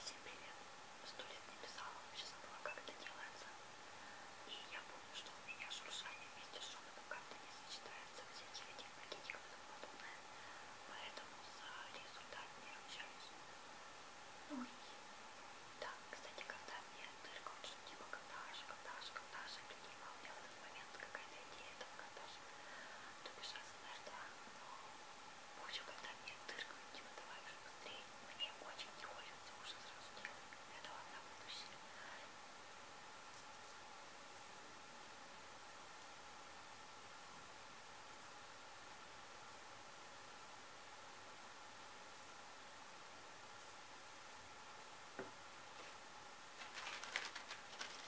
Себе сто лет не писала, вообще забыла, как это делается. И я помню, что у меня шуршание вместе с шепотом как-то не сочетается, всяких этих пакетиков и тому подобное. Поэтому за результат не ручаюсь. Ну и да, кстати, когда мне дырка, вот что типа кондаж, кондаж, кондаж, и прикинула, у меня в этот момент какая-то идея этого кондажа. То бишь а СМР, да, но Будем, когда мне тыркают, типа, давай уже быстрее. Мне очень не хочется уже сразу делать. Это ладно, будущее.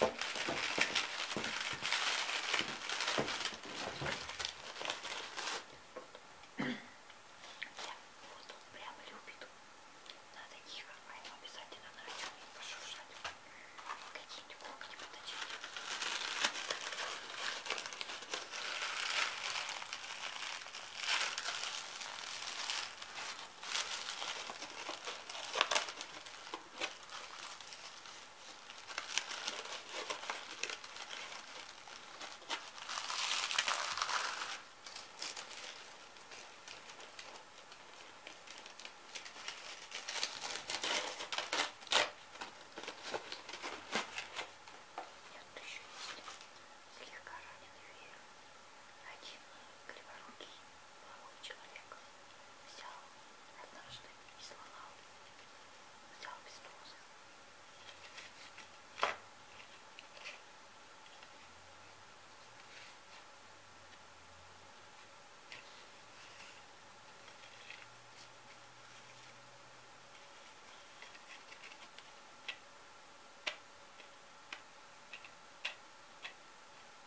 вот он прям любит. Надо их ему а обязательно начать пошуршать. Какие-нибудь когти поточить. Слегка раненый верю. Один криворукий человек взял однажды и сломал, взял без трозы.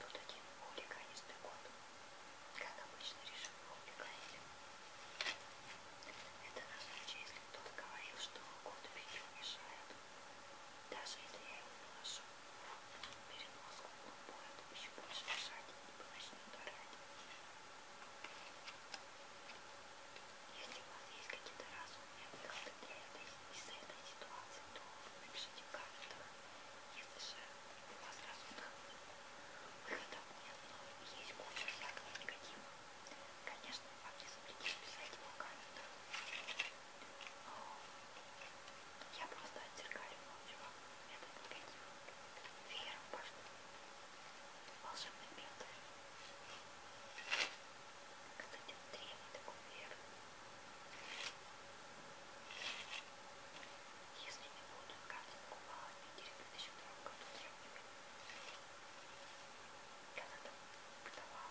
Тут один хулиганистый а кот, как обычно, решил хулиганить. Это на случай, если кто-то говорил, что кот мне мешает, даже если я его поношу. Переноску он будет еще больше мешать и начнет орать. Если у вас есть какие-то разумные выходы для этой, из этой ситуации, то напишите в комментах. Если же у вас разумных выходов нет, но есть куча всякого негатива, конечно, вам не запретишь писать его в комментах. Но я просто отзеркалю чувак. Это никаких вееров пошло. Волшебный пентов. Кстати, древний такой веер. Если не буду картинку купала в Питере в 2002 году древними, я тогда продавала.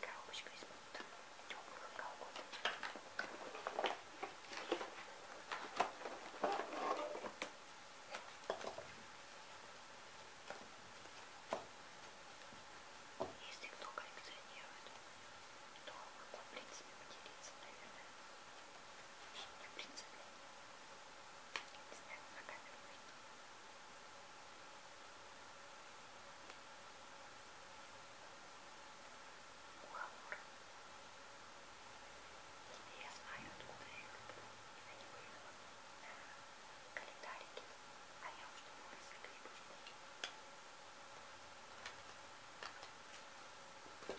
Коробочка из-под теплых колготок. Если кто коллекционирует, то могу, в принципе, поделиться, наверное. Не в принципе снять на камеру можно. Уговор. Теперь я знаю, откуда я их люблю. Я не вывела календарики, а я уж думала, если грибочки. Ой,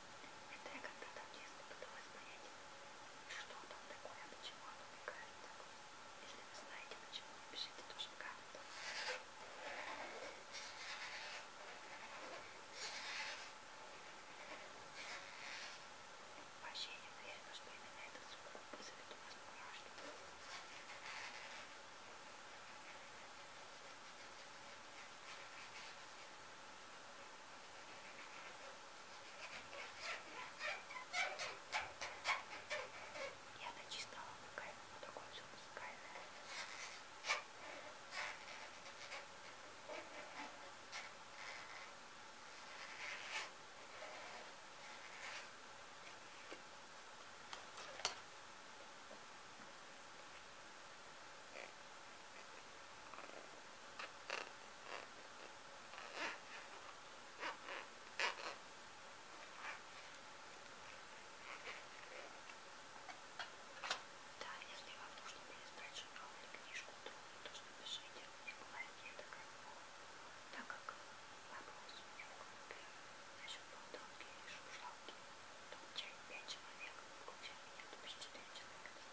Это я когда-то в детстве пыталась понять, что там такое, почему оно мне кажется. Если вы знаете, почему, напишите тоже в комментах. Вообще не уверена, что именно этот звук вызовет у вас мурашки. Итак, я начистала на камеру, вот такое все музыкальное. Да, если вам нужно переиздать журнал или книжку, то тоже напишите. И бывает, я такая, так как вопрос у меня в группе насчет болталки и шуршалки, то чай 5 человек, включая меня, то есть 4 человека.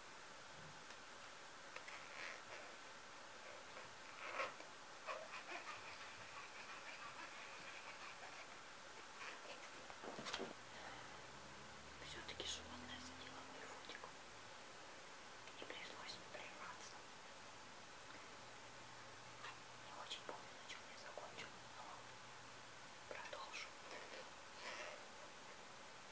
Все-таки животное задело мою фотику. И пришлось прерваться. Не очень помню, на чем я закончил, но продолжу.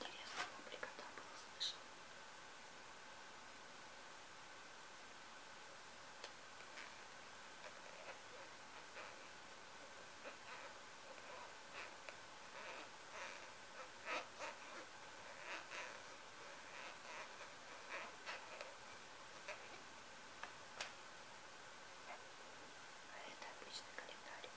Интересно, публика там было слышно. А это обычный календарик.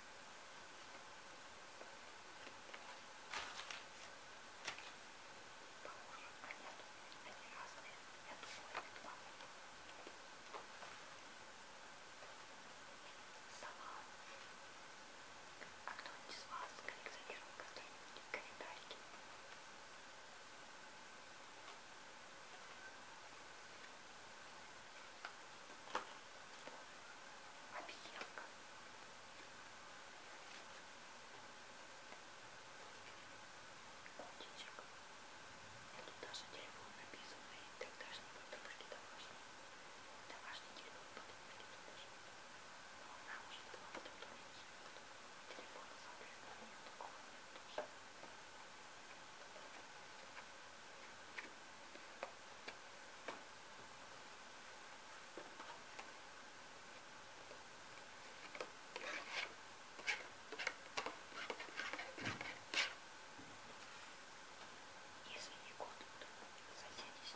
Похожи, а нет, они разные. Я думаю, их два. Сова. А кто-нибудь из вас коллекционировал какие-нибудь календарики? объемка. Котичек. Тут даже телефон написан и тогдашние подружки домашние. Домашний телефон подружки домашние. Но она уже была в том доме. Телефона, соответственно, нет такого нет тоже. Если не год, то заденись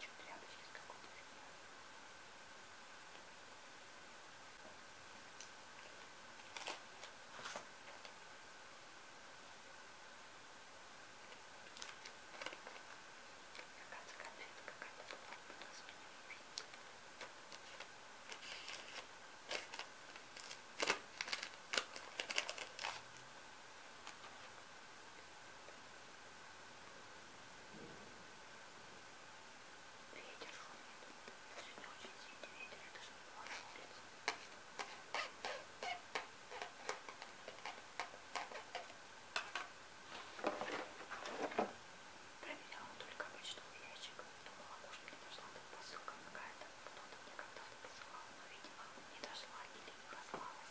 еще тряпочки с какой-то фигней. Какая-то конфета какая-то была у нас у меня может. Ой, Ветер шумит. Сегодня очень сильный ветер, я даже не была на улице. Проверяла только почтовый ящик. Думала, может мне дошла там посылка какая-то. Кто-то мне когда-то посылал, но, видимо, не дошла или не послалась.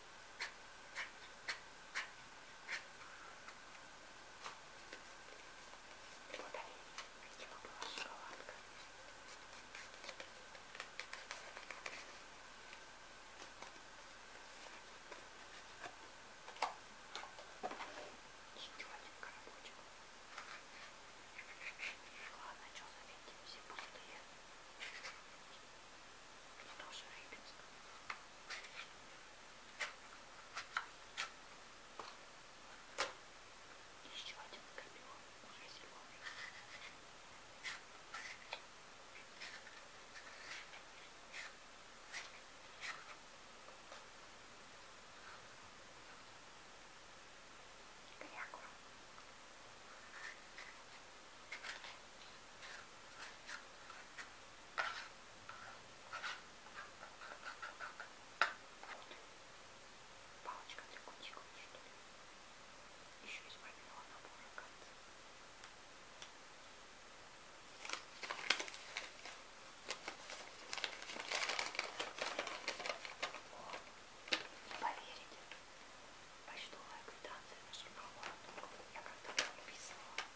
Вот они, видимо, была шоколадка. Четвертенько рабочего. Ладно, что заметим, все пустые тоже Рыбинск. Еще один скорпион, уже зеленый. Кряква. Палочка для кутикулы, что ли? Еще из мобильного набора конца. Не поверите, почтовая квитанция на журнал «Город». Я когда-то подписывала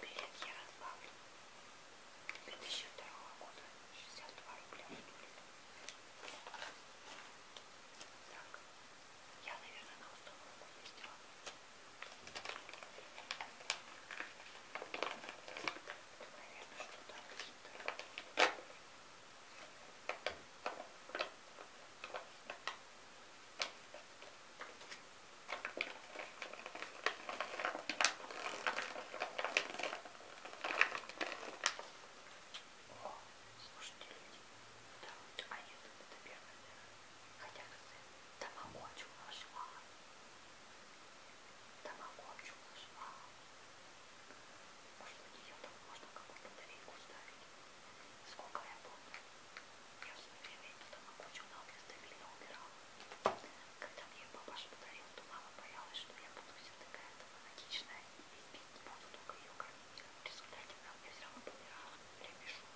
Билет я разбавлю. 2002 года. 62 рубля. Так. Я, наверное, на уступку вместила. Наверное, что-то какие-то. О, слушайте, люди. Да, а нет, это первое, наверное. Хотя тамагочу нашла. Тамагочу нашла. Может, у нее там можно какую-то батарейку ставить. Сколько я помню. Я в свое время эту тамагочу на мне стабильно убирала. Когда мне папаша подарил, то мама боялась, что я буду вся такая автоматичная и пить не буду, только ее кормить. В результате мелкая все равно помирала. Ребешок.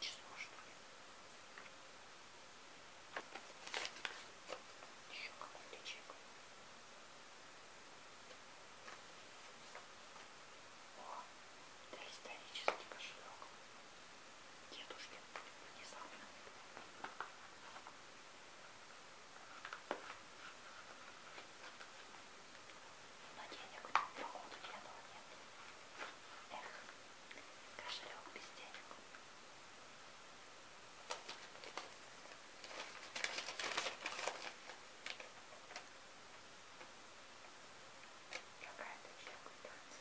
Число, что ли? Еще какой-то чек. О, это исторический кошелек. Дедушки внезапно но денег на походу пьяного нет. Эх, кошелек без денег. Какая-то человека танца.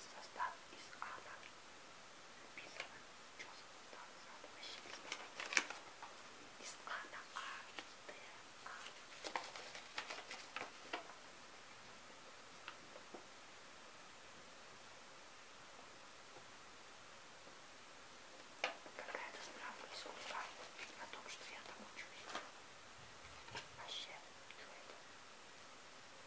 Состав из ада. Написано четко, так, задумающимся. Из А на А, Д, А. Когда я это справлю из угла о том, что я там учусь. Вообще, что это?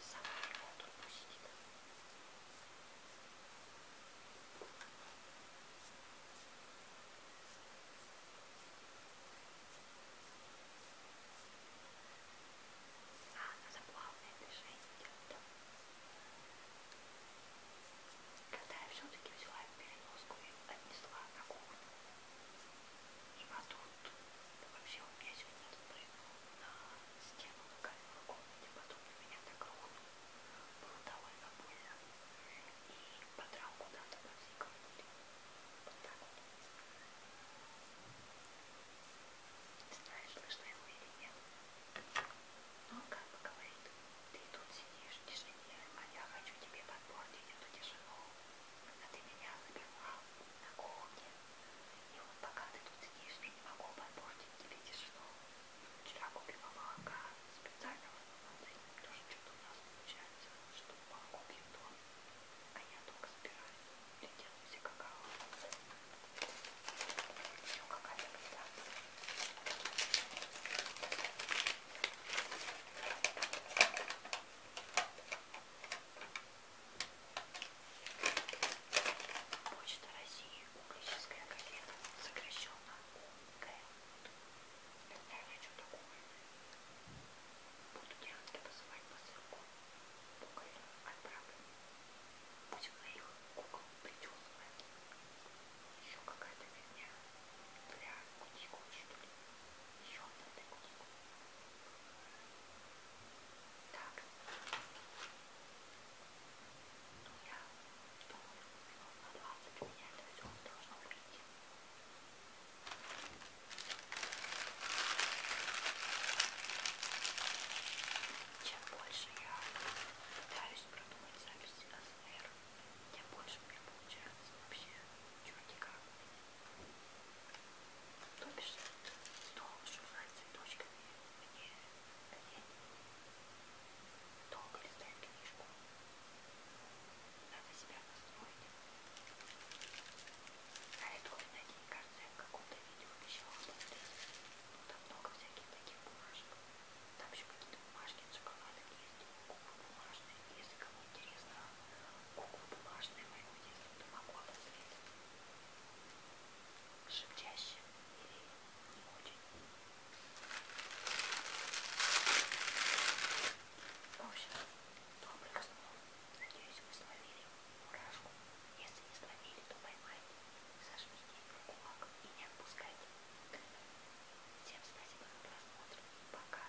Сама его тут пустит. А, она за плавное движение идет. Когда я все-таки взяла переноску и отнесла на кухню, и мотор вот. Вообще у меня сегодня спрыгнул на стену на камеру в комнате, потом на меня так рухнул. Было довольно больно. И подрал куда-то по всей квартире. Вот так вот. Не знаю, слышно его или нет. Но он как бы говорит, ты тут сидишь в тишине, а я хочу тебе подпортить эту тишину словно а ты меня запивал на кухне. И вот пока ты тут сидишь, я не могу подпортить тебе тишину. Вчера купила молока специального, тоже что-то у нас получается, что молоко пьют а я только собираюсь лететь все какао. Еще какая-то беда. Почта России, Углическая газета, сокращенно УГ. Тогда я хочу такое. Буду делать посылать посылку. Буквально отправлю. Пусть на их кукол причесывает. Еще какая-то фигня. Для кутикулы, что ли. Еще одна для кутикулы. Так. Ну, я думаю, минут на 20 меня это все должно выйти. Чем больше я пытаюсь продумать записи АСМР, тем больше у меня получается вообще чертика. То бишь, должен знать цветочками мне лень. Долго листать книжку. Надо себя настроить. А это вот на день, кажется, я в каком-то видео обещала посмотреть. Ну, там много всяких таких бумажек. Там еще какие-то бумажки, шоколадок есть, бумажные, если кому интересно, куклу бумажную моего детства ты могла встретить? Шепчащим или не очень? В общем, добрых снов. Надеюсь, вы словили мурашку. Если не словили, то поймайте. Зажмите ее в кулак и не отпускайте. Всем спасибо за просмотр. Пока.